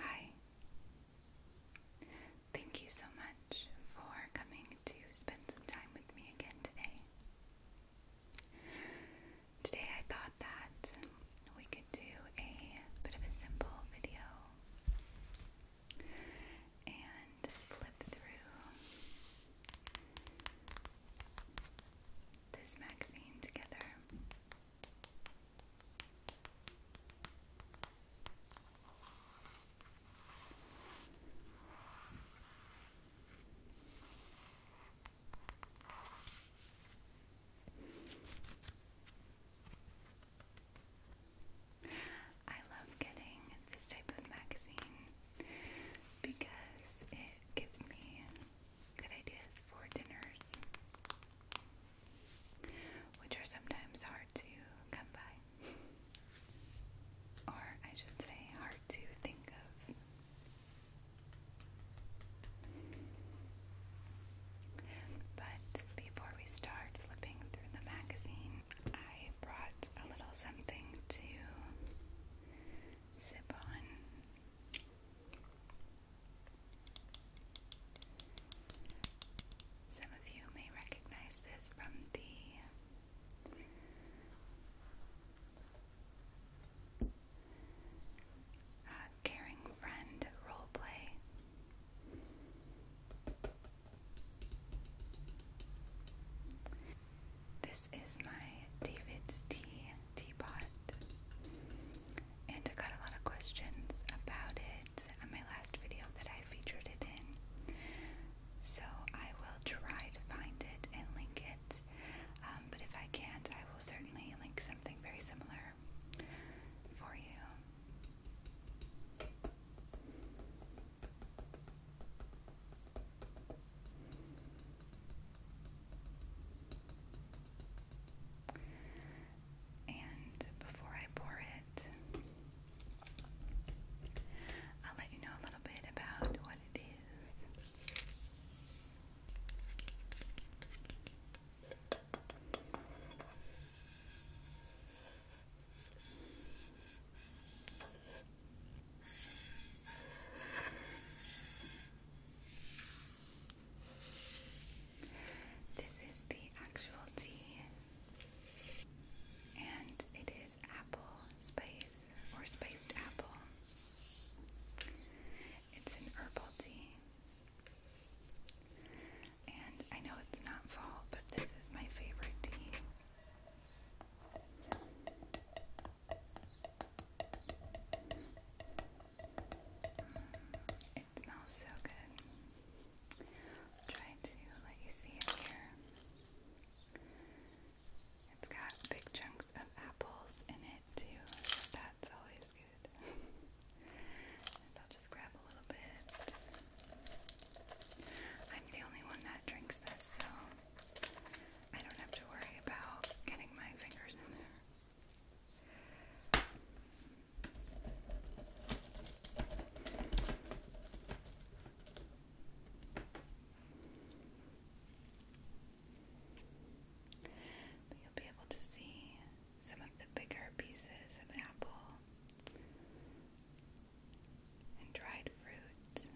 Hi. Thank you so much for coming to spend some time with me again today. Today I thought that we could do a bit of a simple video and flip through this magazine together. I love getting this type of magazine because it gives me good ideas for dinners, which are sometimes hard to come by. Or I should say, hard to think of. But before we start flipping through the magazine, I brought a little something to sip on. Some of you may recognize this from the uh, Caring Friend roleplay. This is my David's Tea teapot, and I got a lot of questions about it on my last video that I featured it in. So I will try to find it and link it, um, but if I can't, I will certainly link something very similar for you. And before I pour it, I'll let you know a little bit about what it is. This is the actual tea, and it is apple spice or spiced apple. It's an herbal tea. And I know it's not fall, but this is my favorite tea. Mm, it smells so good. I'll try to let you see it here. It's got big chunks of apples in it too. That's always good. and I'll just grab a I'm the only one that drinks this, so I don't have to worry about getting my fingers in there. you'll be able to see some of the bigger pieces of apple and dried fruit.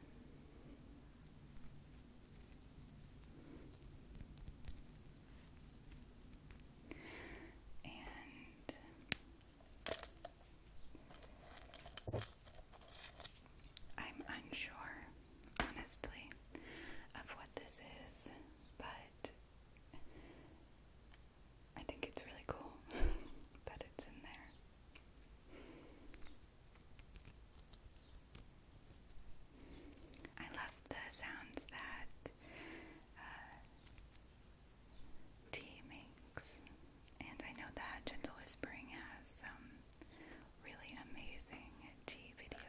And I'm unsure, honestly, of what this is, but I think it's really cool that it's in there. I love the sounds that uh, tea makes, and I know that Gentle Whispering has some really amazing tea videos.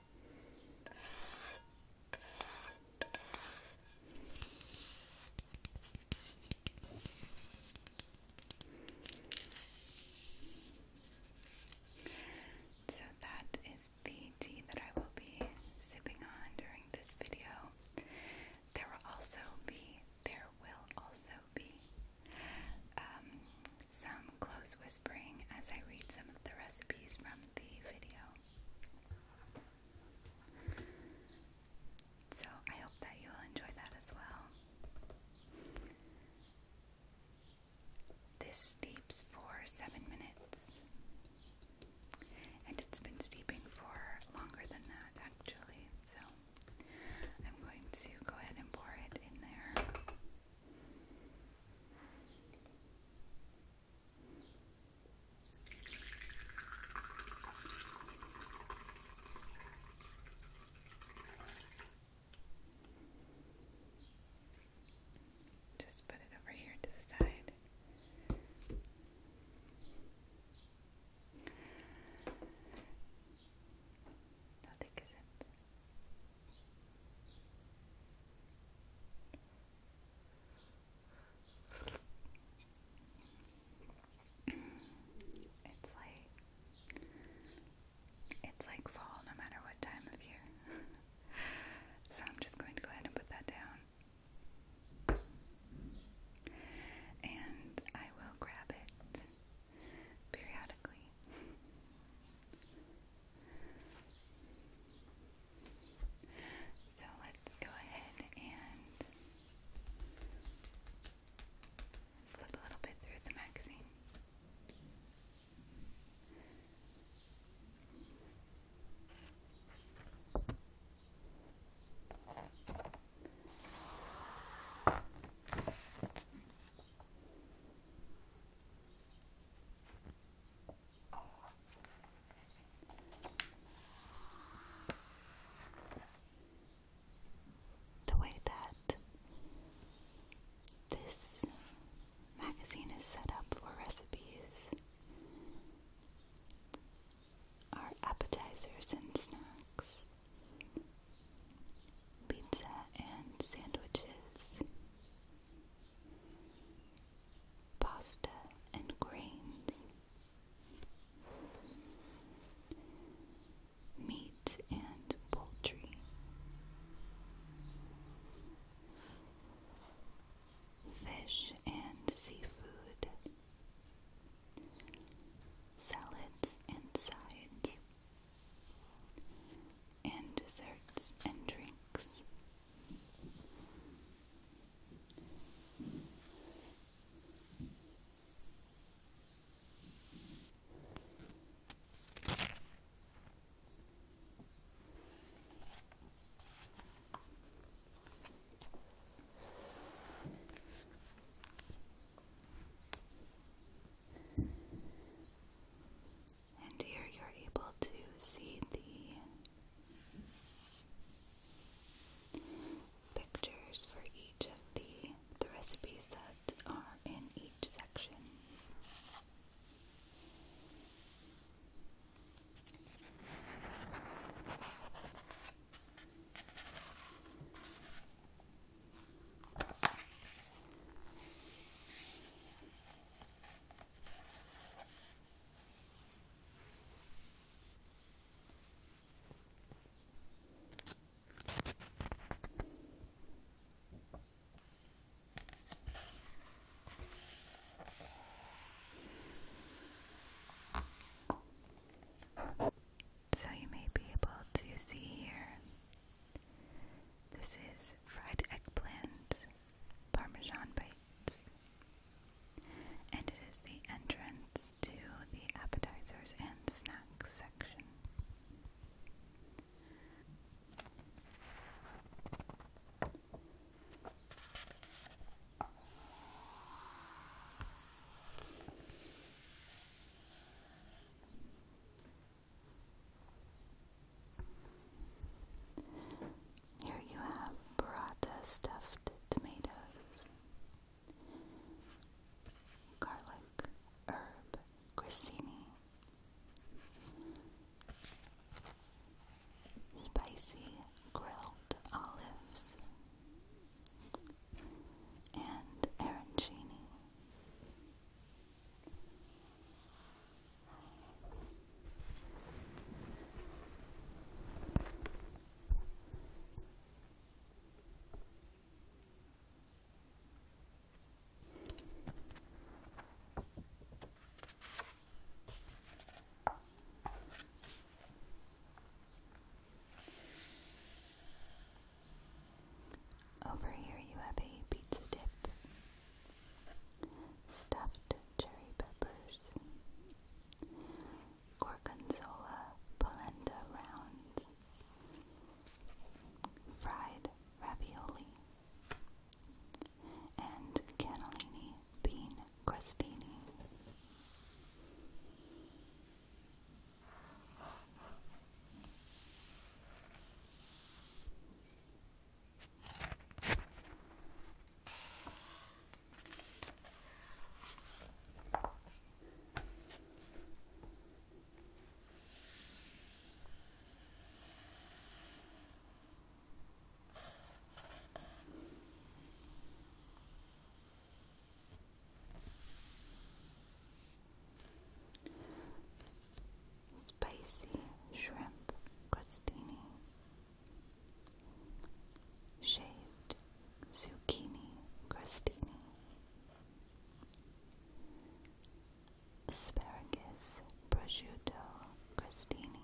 So that is the tea that I will be sipping on during this video. There will also be, there will also be um, some close whispering as I read some of the recipes from the video. So I hope that you'll enjoy that as well. This steeps for seven minutes, and it's been steeping for longer than that actually. So I'm going to go ahead and pour it in there. Just put it over here to the side. Nothing is it's like it's like fall no matter what time of year. so I'm just going to go ahead and put that down. And I will grab it periodically. So let's go ahead and flip a little bit through the magazine. The way that this magazine is set up for recipes are appetizers and snacks, pizza and sandwiches, pasta and grains, meat and poultry, fish and seafood, salads and sides. And desserts and drinks, and here you're able to see the pictures for each of the, the recipes that are in each section. So you may be able to see here. This is fried eggplant Parmesan bites. And it is the entrance to the appetizers and snacks section. Here you have burrata stuffed tomatoes, garlic, herb, grissini, spicy grilled olives, and arancini. Over here, you have a pizza dip, stuffed cherry peppers, gorgonzola polenta rounds, fried ravioli, and cannellini bean crostini. Spicy shrimp crostini Shaved zucchini crostini, asparagus prosciutto crostini,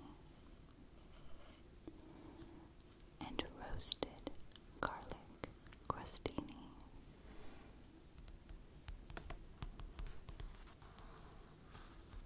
and roasted garlic crostini.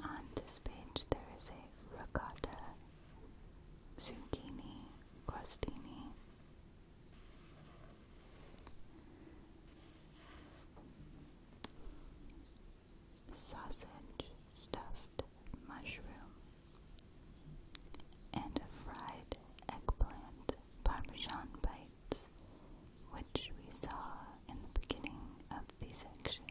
On this page there is a ricotta, zucchini, crostini. Sausage stuffed mushroom and fried eggplant parmesan bites, which we saw in the beginning of this section.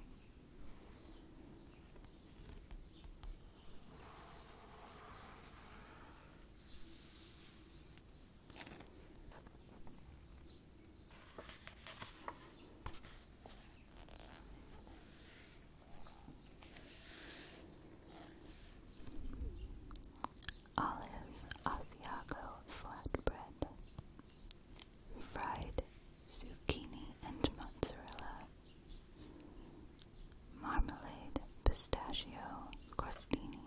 Olive Asiago Flatbread fried zucchini and mozzarella, marmalade, pistachio, crostini.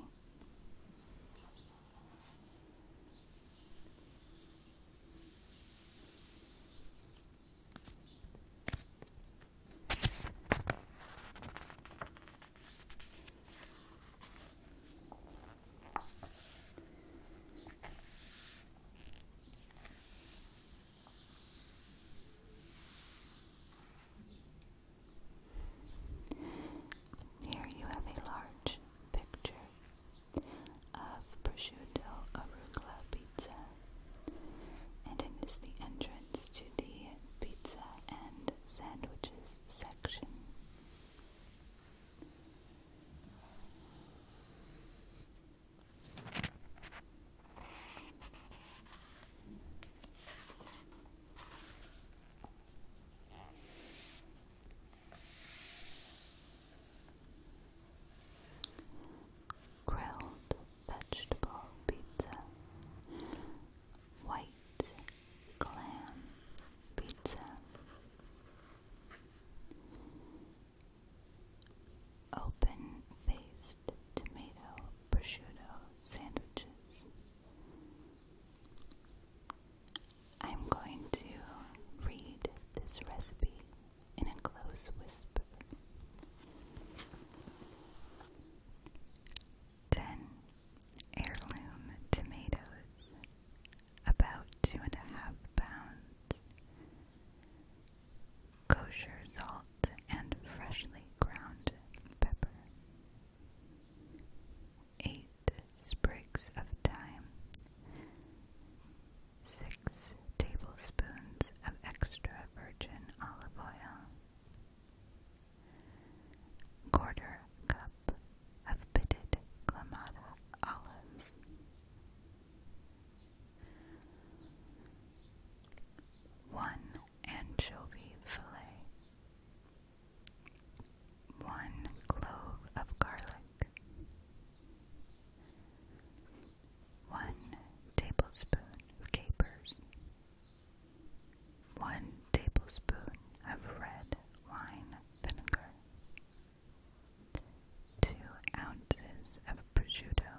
Here you have a large picture of prosciutto arugula pizza, and it is the entrance to the pizza and sandwiches section. Grilled vegetable pizza, white clam pizza, Open faced tomato prosciutto sandwiches. I'm going to read this recipe in a close whisper. 10 heirloom tomatoes about two and a half pounds. Kosher salt and freshly ground pepper. Eight sprigs of thyme. Six tablespoons of extra virgin olive oil. Quarter cup of pitted Clamata olives. One anchovy fillet. One clove of garlic. One tablespoon of capers. One tablespoon of red wine vinegar. 2 ounces of prosciutto,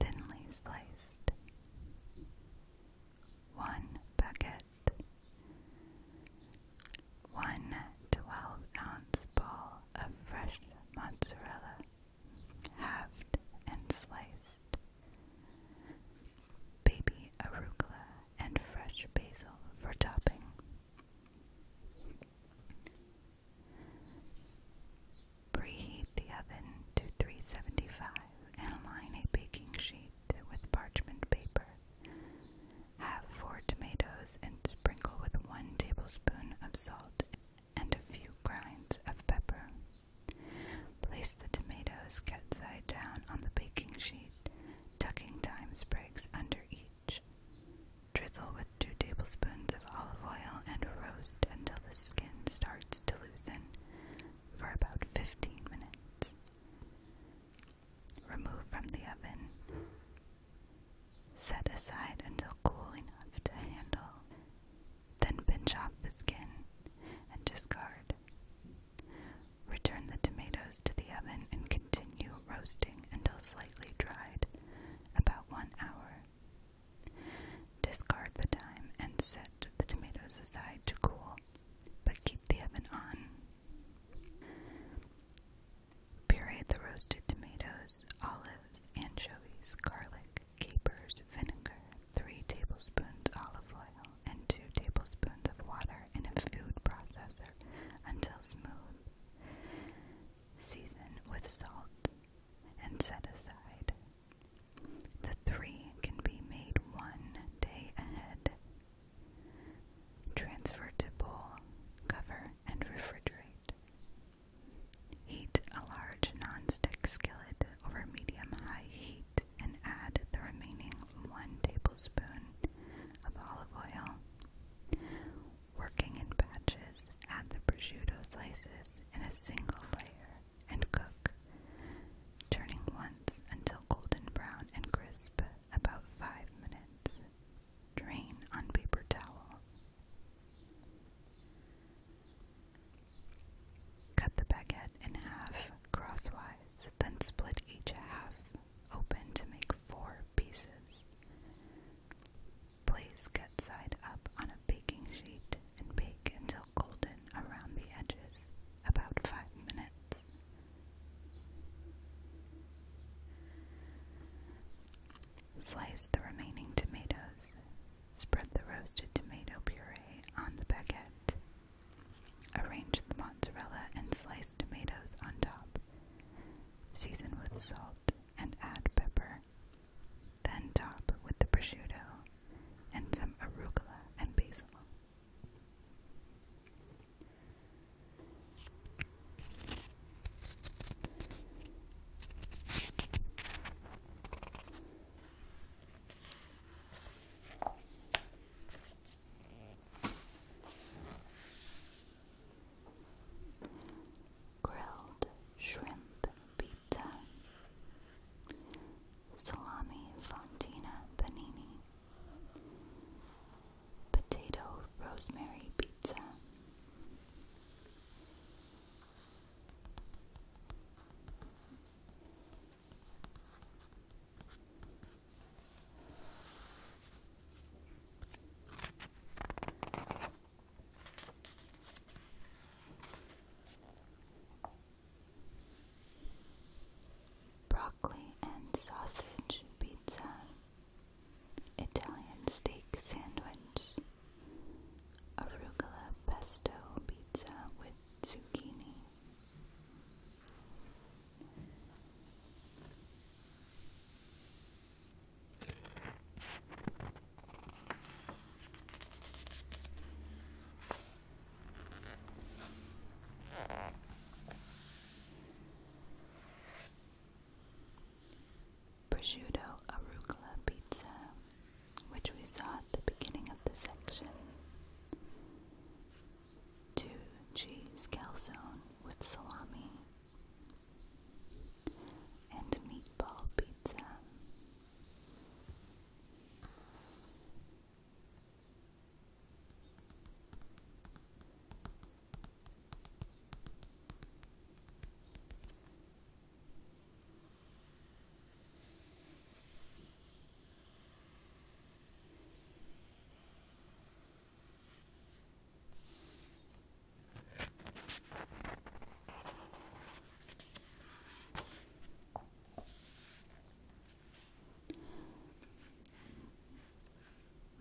thinly sliced, 1 baguette, 1 12 ounce ball of fresh mozzarella, halved and sliced, baby arugula and fresh basil for topping. Preheat the oven to 375 and align a baking sheet with parchment paper. Have four tomatoes and sprinkle with one tablespoon of salt and a few grinds of pepper. Place the tomatoes cut side down on the baking sheet, tucking thyme sprigs under each. Drizzle with 2 tablespoons of olive oil and roast until the skin starts to loosen for about 15 minutes. Remove from the oven. Set aside until cool enough to handle. Then pinch off the skin and discard. Return the tomatoes to the oven and continue roasting until slightly dried about one hour. Discard the thyme and set the tomatoes aside to cool, but keep the oven on. Puree the roasted tomatoes, olives, anchovies, garlic, capers, vinegar, 3 tablespoons olive oil, and 2 tablespoons of water in a food processor until smooth. Season with salt and set aside. The three can be made one day ahead. Transfer to bowl, cover, and refrigerate. Heat a large non-stick skillet over medium-high heat and add the remaining 1 tablespoon of olive oil, working in batches, add the prosciutto slices in a single layer and cook, turning once until golden brown and crisp, about 5 minutes. Drain on paper towel. Cut the baguette in half crosswise, then split each half open to make four pieces. Place cut side up on a baking sheet and bake until golden around the edges, about 5 minutes. Slice the remaining tomatoes. Spread the roasted tomato puree on the baguette. Arrange the mozzarella and sliced tomatoes on top. Season with salt and add pepper then top with the prosciutto and some arugula and basil grilled shrimp pizza, salami fontina panini, potato rosemary pizza. Broccoli and sausage pizza, Italian steak sandwich, arugula pesto pizza with zucchini. Prosciutto arugula pizza, which we saw at the beginning of the section. Two cheese calzone with salami and meatball pizza.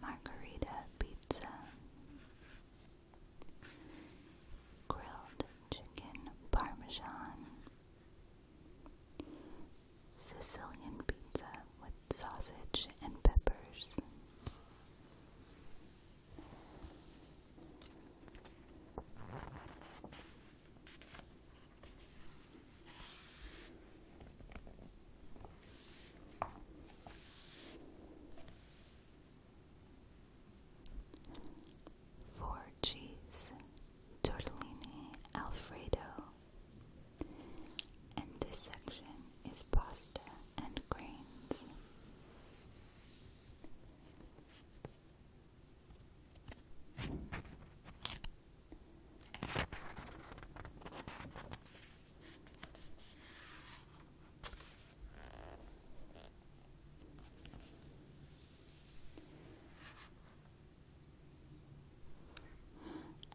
Margarita pizza, grilled chicken parmesan, Sicilian pizza with sausage and peppers. Four cheese tortellini Alfredo, and this section is pasta and grains.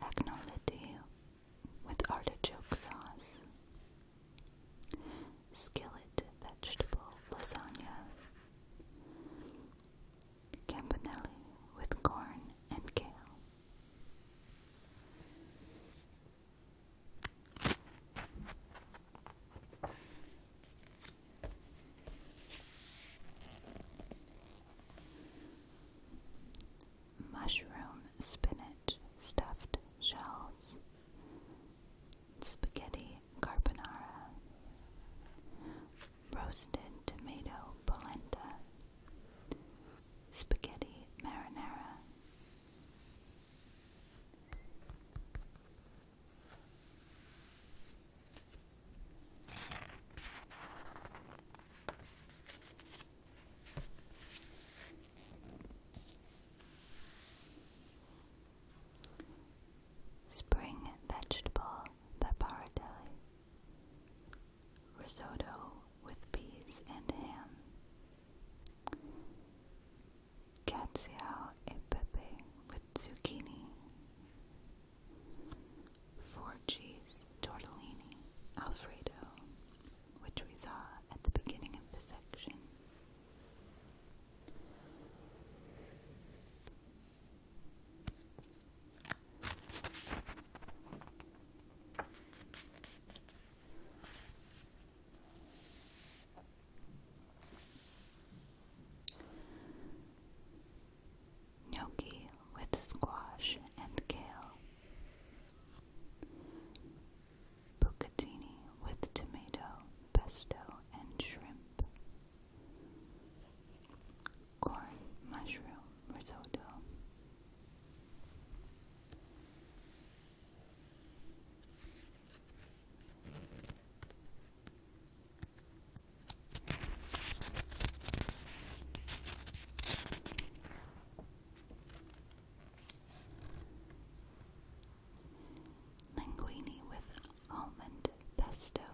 Acknowledge with artichoke sauce. Skillet vegetable lasagna. Campanelli with corn and kale. Mushroom spinach stuffed shells spaghetti carbonara, roasted tomato polenta, spaghetti marinara. Spring vegetable pappardelle. Risotto with peas and ham. Cazziao e pepe with zucchini. Four cheese tortellini alfredo which we saw at the beginning of the section. Gnocchi with squash and kale. Bucatini with tomato, pesto, and shrimp. Corn, mushroom, risotto. Linguine with almond pesto.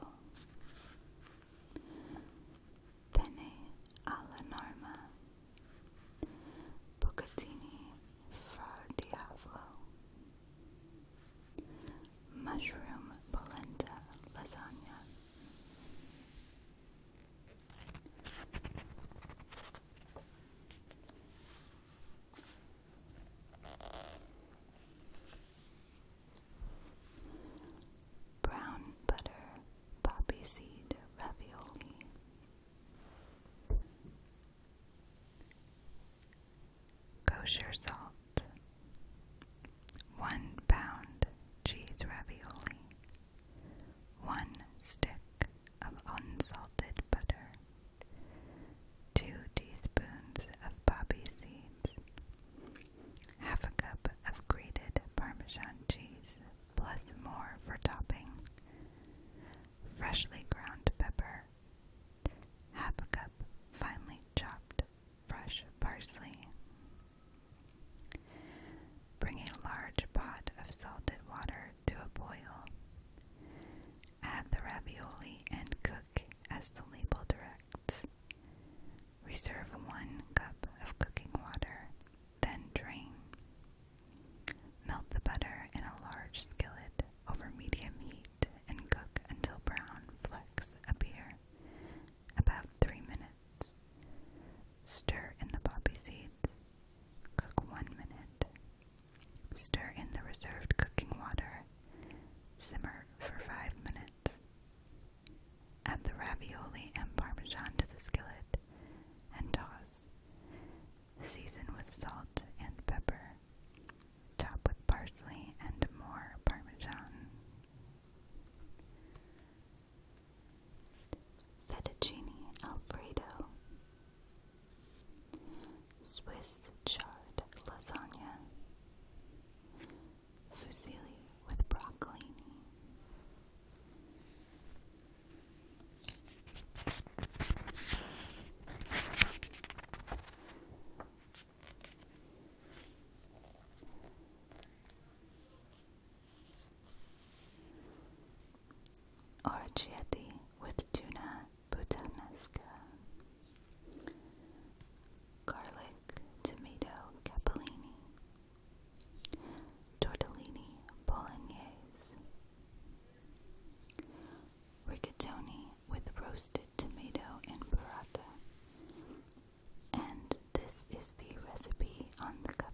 Penne alla norma. Bucatini fra diavolo. Mushroom polenta lasagna. Brown butter poppy seed ravioli. Kosher salt. One pound cheese ravioli. One stick of unsalted butter, 2 teaspoons of poppy seeds, half a cup of grated Parmesan cheese, plus more for topping, freshly ground pepper, half a cup finely chopped fresh parsley. Bring a large pot of salted water to a boil. Add the ravioli and cook as the label directs. Reserve one cup of cooking water, then drain. Melt the butter in a large skillet over medium heat and cook until brown flecks appear, about three minutes. Stir in the poppy seeds. Cook one minute. Stir in the reserved cooking water. Simmer for 5 minutes. Add the ravioli and parmesan to the skillet and toss. Season with salt and pepper. Top with parsley and more parmesan. Fettuccine Alfredo. Swiss chard lasagna, fusilli with broccolini. Orchietti with tuna puttanesca, garlic tomato capellini, tortellini bolognese, rigatoni with roasted tomato and burrata. And this is the recipe on the cover.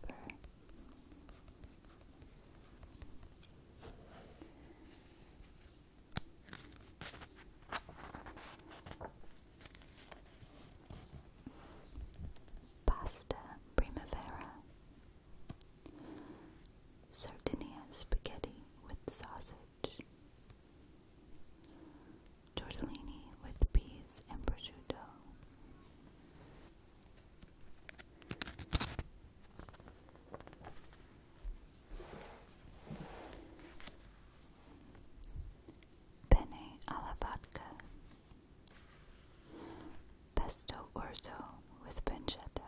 Pasta Primavera Sardinia spaghetti with sausage Tortellini with peas and prosciutto Penne alla vodka. Pesto orzo with pancetta.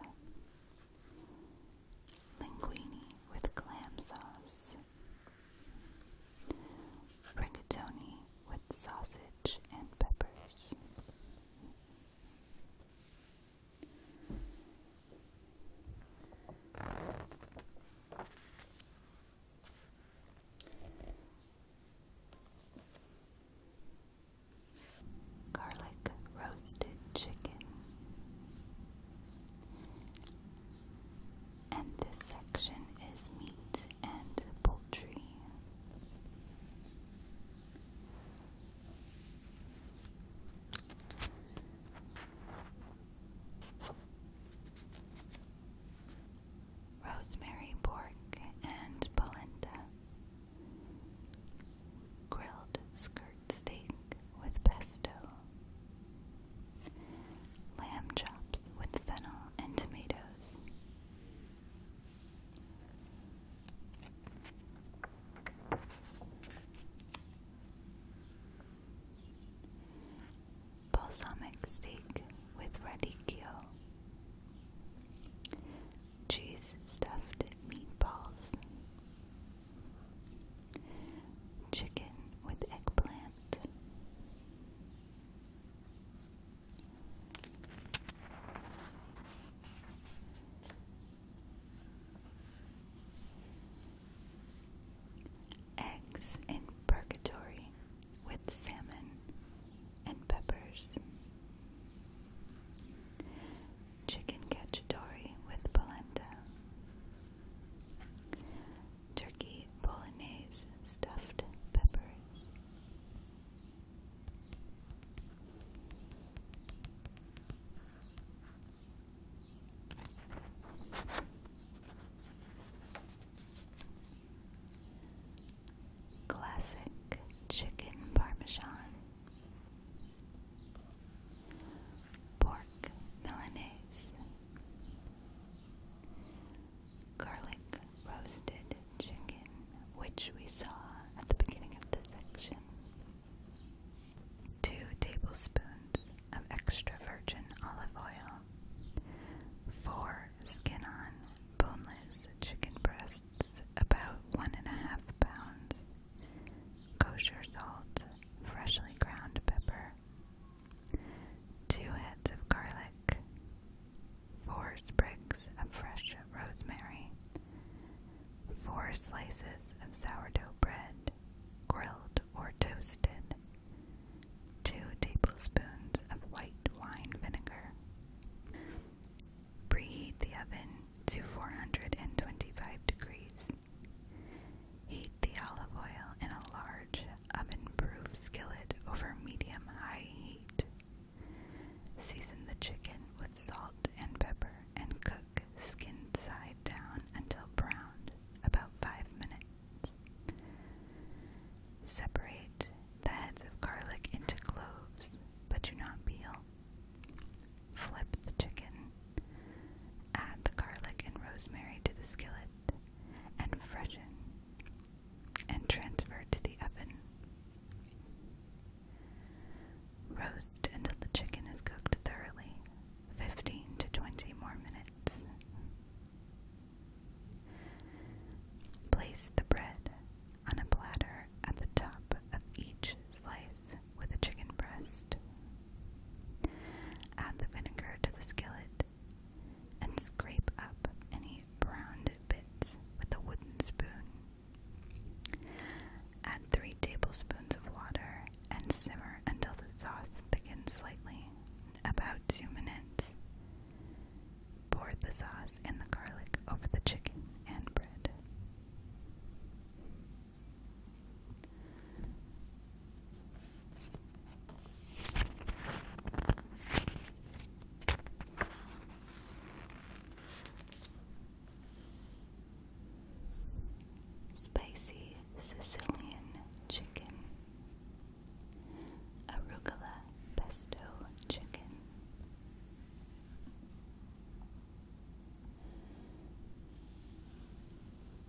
Linguine with clam sauce. Rigatoni with sausage and peppers. Garlic roasted chicken. And this section is meat and poultry. Rosemary pork and polenta. Grilled skirt steak with pesto. Lamb chops with fennel and tomatoes. Balsamic steak with radicchio. Cheese stuffed meatballs. Chicken with eggplant. Eggs in purgatory with salmon and peppers. Chicken cacciatore with polenta. Turkey bolognese stuffed peppers. Classic chicken parmesan, pork Milanese, garlic roasted chicken, which we saw at the beginning of the section. 2 tablespoons of extra virgin olive oil. 4 skin on boneless chicken breasts, about 1.5 pounds. Kosher salt, freshly ground pepper. 2 heads of garlic. 4 sprigs of fresh rosemary. 4 slices of sourdough bread, grilled or toasted, 2 tablespoons of white wine vinegar. Preheat the oven to 425 degrees. Heat the olive oil in a large oven proof skillet over medium high heat Season the chicken with salt and pepper and cook skin side down until browned, about 5 minutes. Separate the heads of garlic into cloves, but do not peel. Flip the chicken. Add the garlic and rosemary to the skillet and freshen and transfer to the oven. Roast until the chicken is cooked thoroughly, 15 to 20 more minutes. Place the bread on a platter at the top of each slice with a chicken breast. Add the vinegar to the skillet and scrape up any browned bits with a wooden spoon. Add 3 tablespoons of water and simmer until the sauce thickens slightly, about 2 minutes. Pour the sauce and the garlic over the chicken and bread. Spicy Sicilian Chicken Arugula Pesto Chicken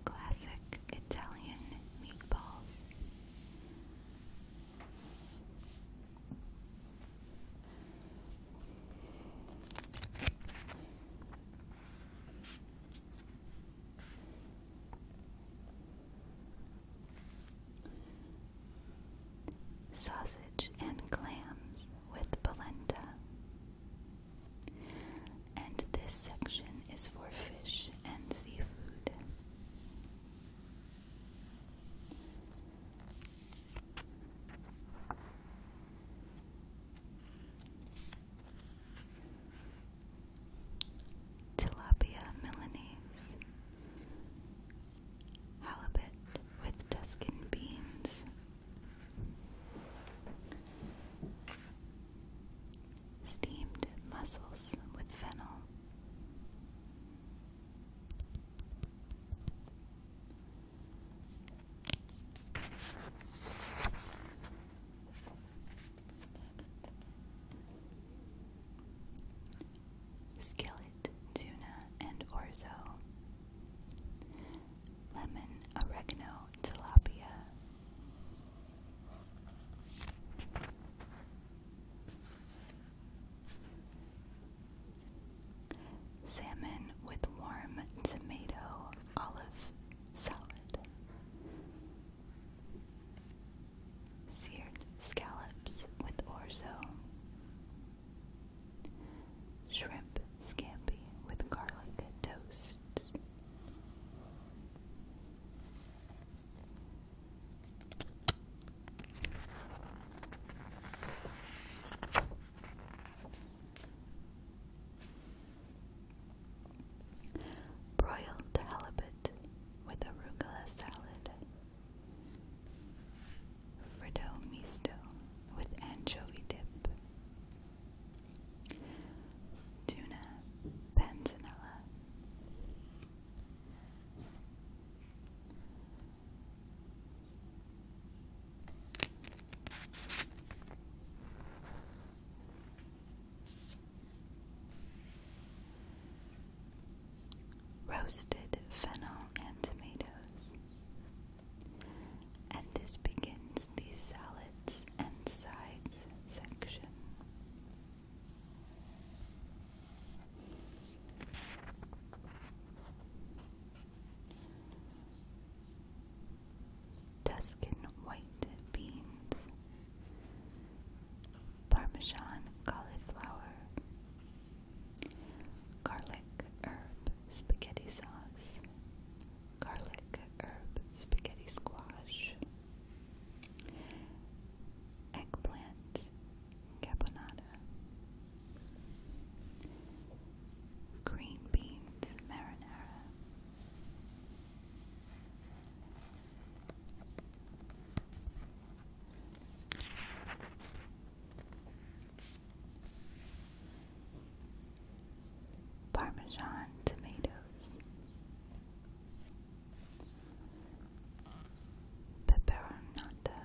Classic Italian Meatballs Sausage and clams with polenta. And this section is for fish and seafood. Tilapia Milanese Halibut with Tuscan beans Steamed mussels with fennel Skillet, tuna, and orzo. Lemon, oregano, tilapia. Salmon with warm tomato olive salad. Seared scallops with orzo. Shrimp scampi with garlic toast. Broiled halibut with arugula salad. Frito misto with anchovy dip. Tuna panzanella. Roasted fennel and tomatoes. And this begins the salads and sides section. Tuscan white beans, Parmesan cauliflower, garlic herb spaghetti sauce, garlic herb spaghetti squash, eggplant carbonara green beans marinara, Parmesan tomatoes, pepperonata,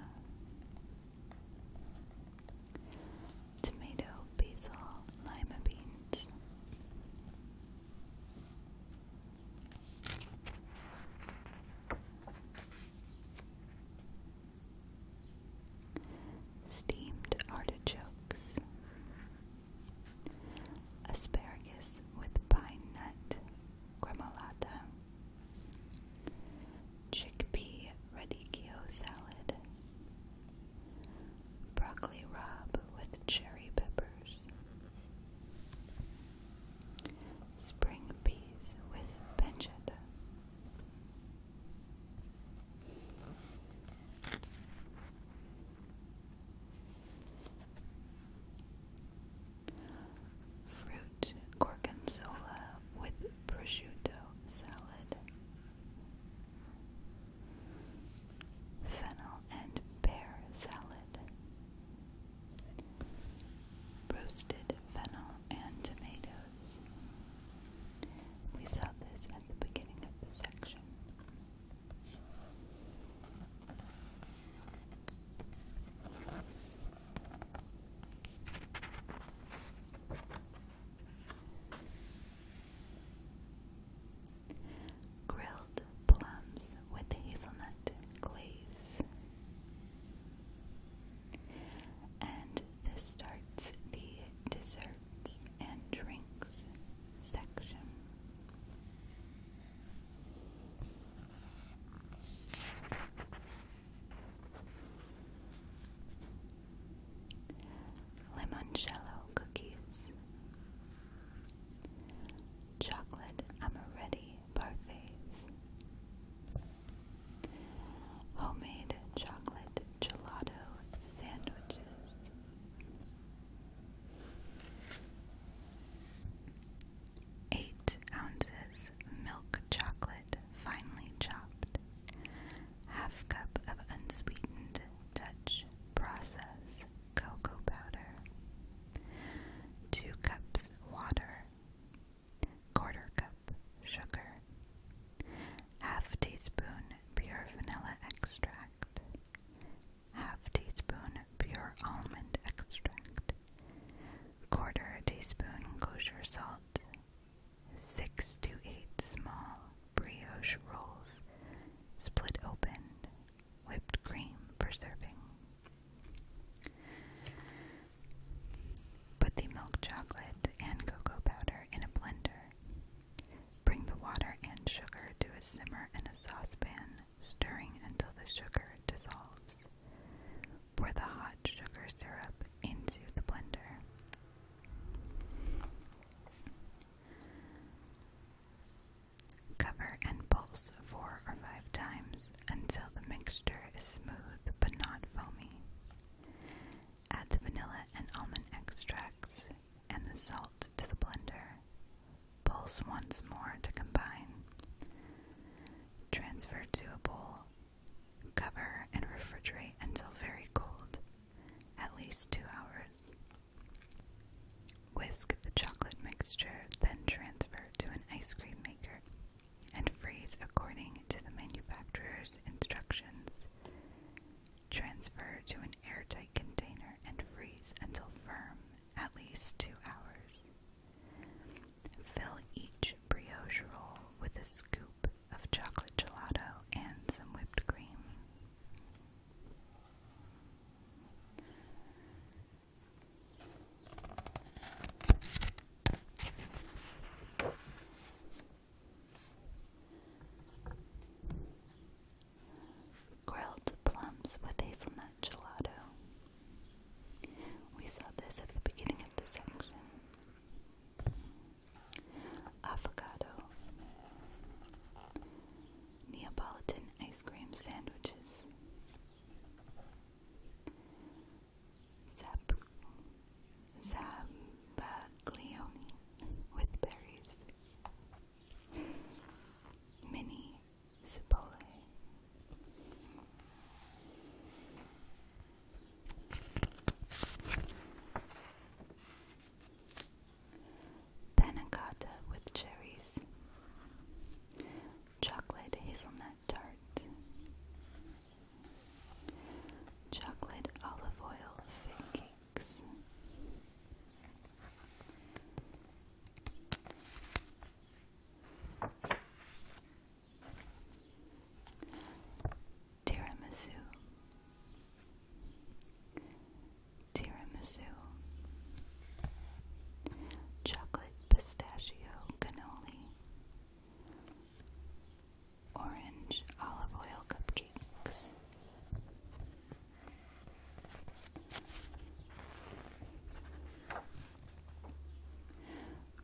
tomato, basil, lima beans. Steamed artichokes, asparagus with pine nut gremolata, Chickpea radicchio salad. Broccoli rob with cherry peppers. Spring peas with pancetta. Fruit gorgonzola with prosciutto salad, fennel and pear salad, roasted fennel and tomatoes. We saw this at the beginning of the section. Grilled plums with hazelnut glaze. And this starts the desserts and drinks section. Limoncello cookies, chocolate amaretti parfaits, homemade chocolate gelato sandwiches. Eight ounces milk chocolate finely chopped. Half cup of unsweetened Dutch process cocoa powder. Two cups water. Quarter cup sugar. Half teaspoon pure vanilla extract. Half teaspoon pure almond extract. Quarter teaspoon kosher salt. Six to eight small brioche rolls, split open, whipped cream for serving. Put the milk chocolate and cocoa powder in a blender. Bring the water and sugar to a simmer in a saucepan, stirring until the sugar dissolves. Pour the hot sugar syrup into the blender. Cover and pulse four or five times until the mixture is smooth but not foamy. Add the vanilla and almond extracts and the salt to the blender. Pulse once more to combine. Transfer to a bowl Cover and refrigerate until very cold, at least two hours. Whisk the chocolate mixture, then transfer to an ice cream maker and freeze according to the manufacturer's instructions. Transfer to an airtight container and freeze until firm, at least two hours. Fill each brioche roll with a scoop of chocolate gelato and some whipped cream. Grilled plums with hazelnut gelato. We saw this at the beginning of the section avocado, Neapolitan ice cream sandwiches, zap, zabaglione with berries, mini cipolle. Panna with cherries. Chocolate hazelnut tart. Chocolate olive oil fig Tiramisu Tiramisu Chocolate Pistachio Cannoli Orange Olive Oil Cupcakes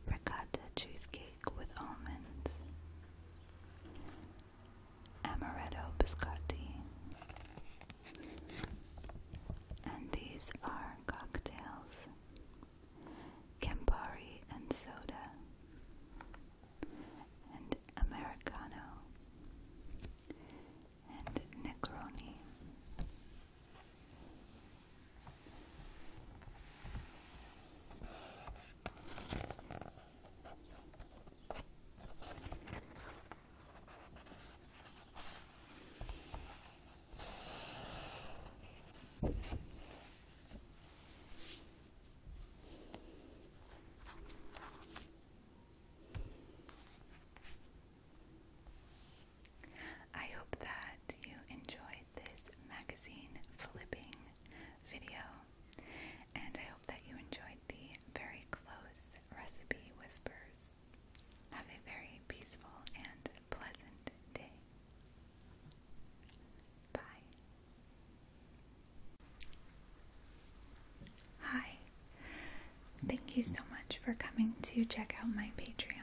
ricotta cheesecake with almonds, amaretto biscotti, and these are cocktails, Campari and soda, and Americano, and Negroni. I hope that you enjoyed this magazine flipping video. And I hope that you enjoyed the very close recipe whispers. Have a very peaceful and pleasant day. Bye. Hi. Thank you so much for coming to check out my Patreon.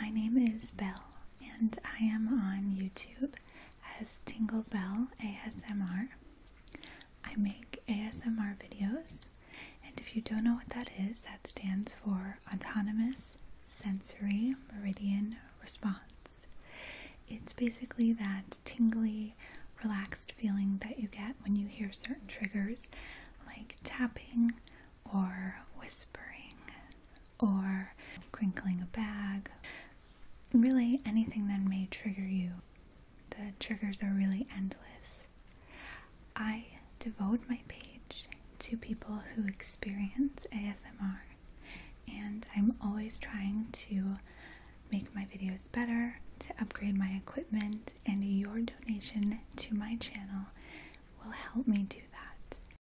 My name is Bell, and I am on YouTube as Tingle Bell ASMR. I make ASMR videos, and if you don't know what that is, that stands for Autonomous Sensory Meridian Response. It's basically that tingly, relaxed feeling that you get when you hear certain triggers like tapping or whispering or crinkling a bag. Really, anything that may trigger you. The triggers are really endless. I devote my page to people who experience ASMR, and I'm always trying to make my videos better, to upgrade my equipment, and your donation to my channel will help me do that.